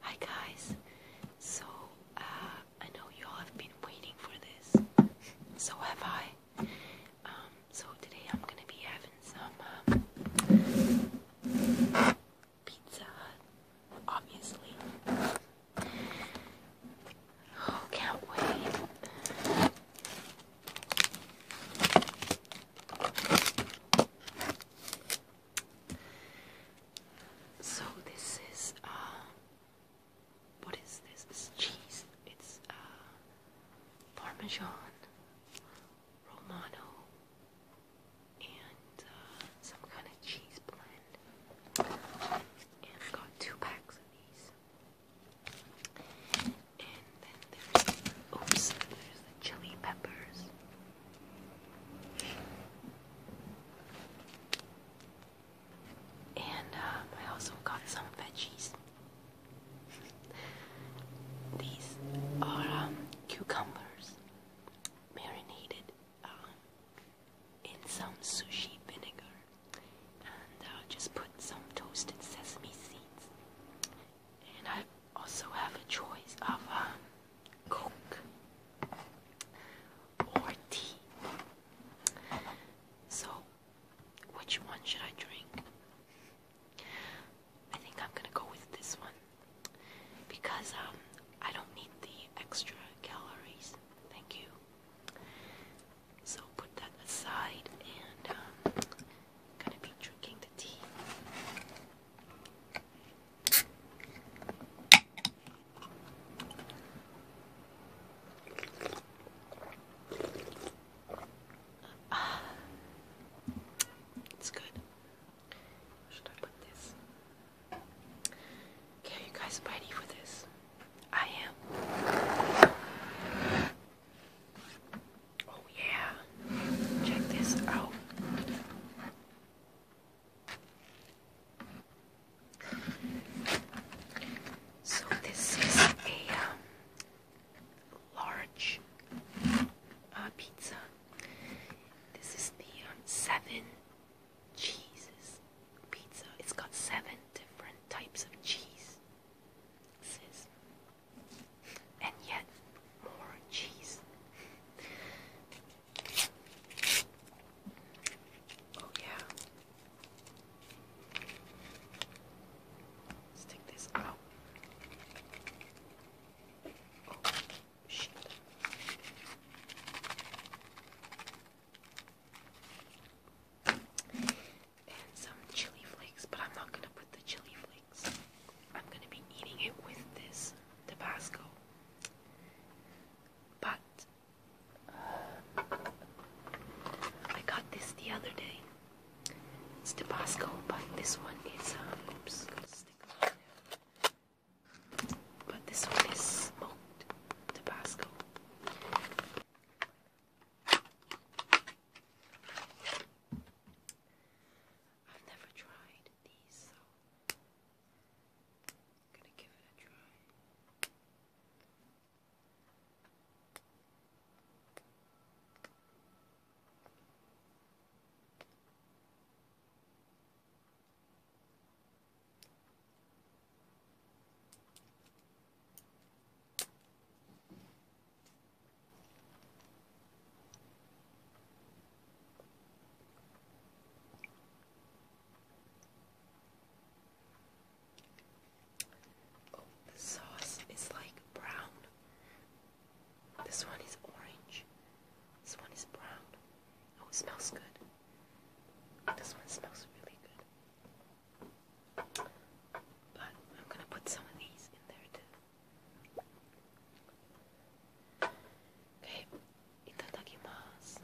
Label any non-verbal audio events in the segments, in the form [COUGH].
Hi guys, so uh, I know you all have been waiting for this, so have I. Um, so today I'm gonna be having some um, pizza, obviously. Oh, can't wait. So this is uh, what is this? cheese. It's uh, Parmesan, Romano, and uh, some kind of cheese blend. got two packs of these. And then there's oops, there's the chili peppers. And um, I also got some veggies. These are um, cucumbers marinated um, in some sushi vinegar. And I'll uh, just put some toasted sesame seeds. And i also have a choice of um, Coke or tea. So, which one should I drink? I think I'm gonna go with this one because um, I don't need the extra calories. Thank you. So put that aside, and I'm um, gonna be drinking the tea. Ah, [SIGHS] it's good. should I put this? Okay, you guys ready for this? I am. Oh yeah. Check this out. So this is a um, large uh, pizza. This is the um, seven cheeses pizza. It's got seven different types of cheese. And yet more cheese. Oh, yeah. let this out. Oh, shit. And some chili flakes, but I'm not gonna put the chili flakes. I'm gonna be eating it with this Tabasco. But I got this the other day. It's Tabasco, but this one is um, oops, But this one is smoked Tabasco. I've never tried these, so I'm gonna give it a try. Oh, the sauce is like brown. This one is orange. This one is brown. Oh, it smells good. This one smells really good. But I'm gonna put some of these in there too. Okay, itadakimasu.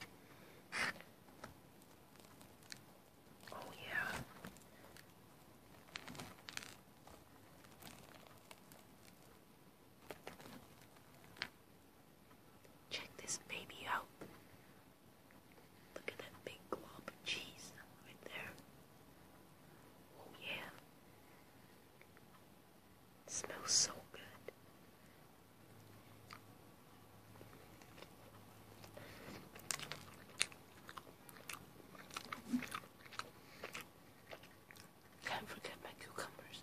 Oh yeah. Check this baby out. Look at that big glob of cheese right there. Oh yeah smells so good. Can't forget my cucumbers.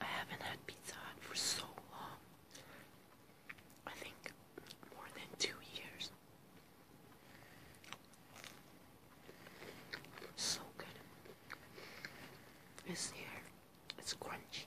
I haven't had Pizza for so long. I think more than two years. So good. It's here. It's crunchy.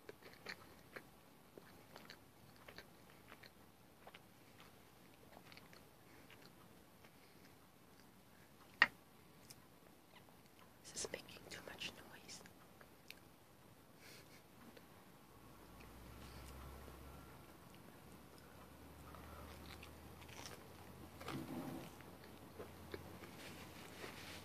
This is making too much noise.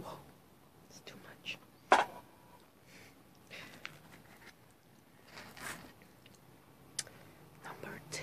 Whoa, it's too much. Number two.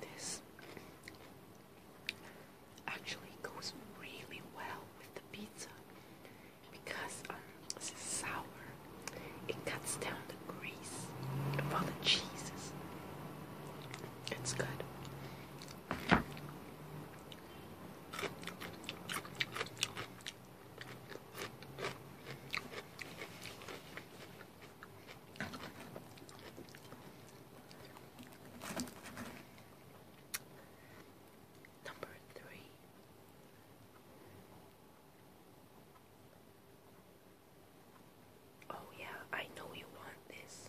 This actually goes really well with the pizza because um, this is sour, it cuts down the grease for the cheeses. It's good. Number three Oh, yeah, I know you want this.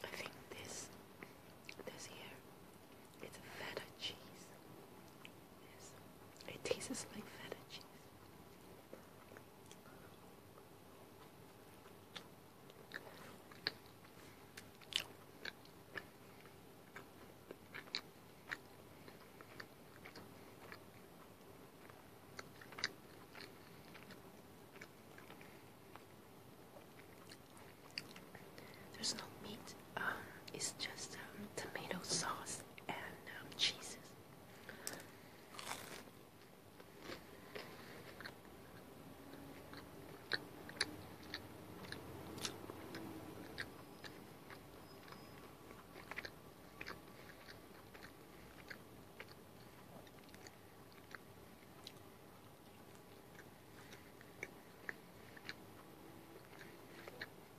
I think this this year it's feta cheese. Yes. It tastes like feta cheese. There's no meat um, it's just um, tomato sauce and um, cheeses.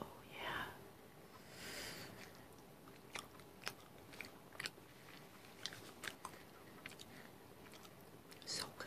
Oh, yeah. So good.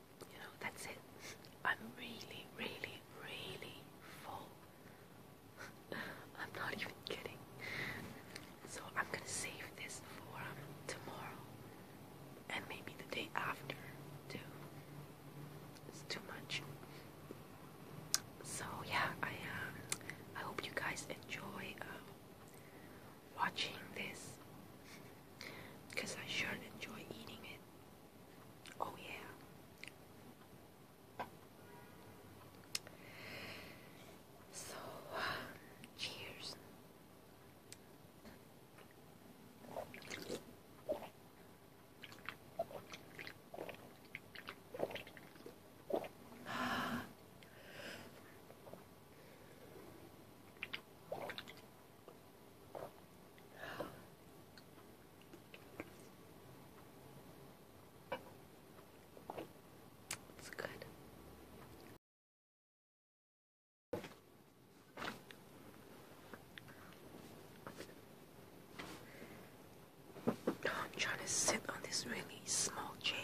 You know, that's it. I'm really, really, really full. [LAUGHS] I'm not even kidding. So I'm gonna save this for um, tomorrow and maybe the day after too. It's too much. So yeah, I um, I hope you guys enjoy um, watching this because I sure enjoy eating it. Oh, yeah. So, cheers. It's good. I'm trying to sit on this really small chair.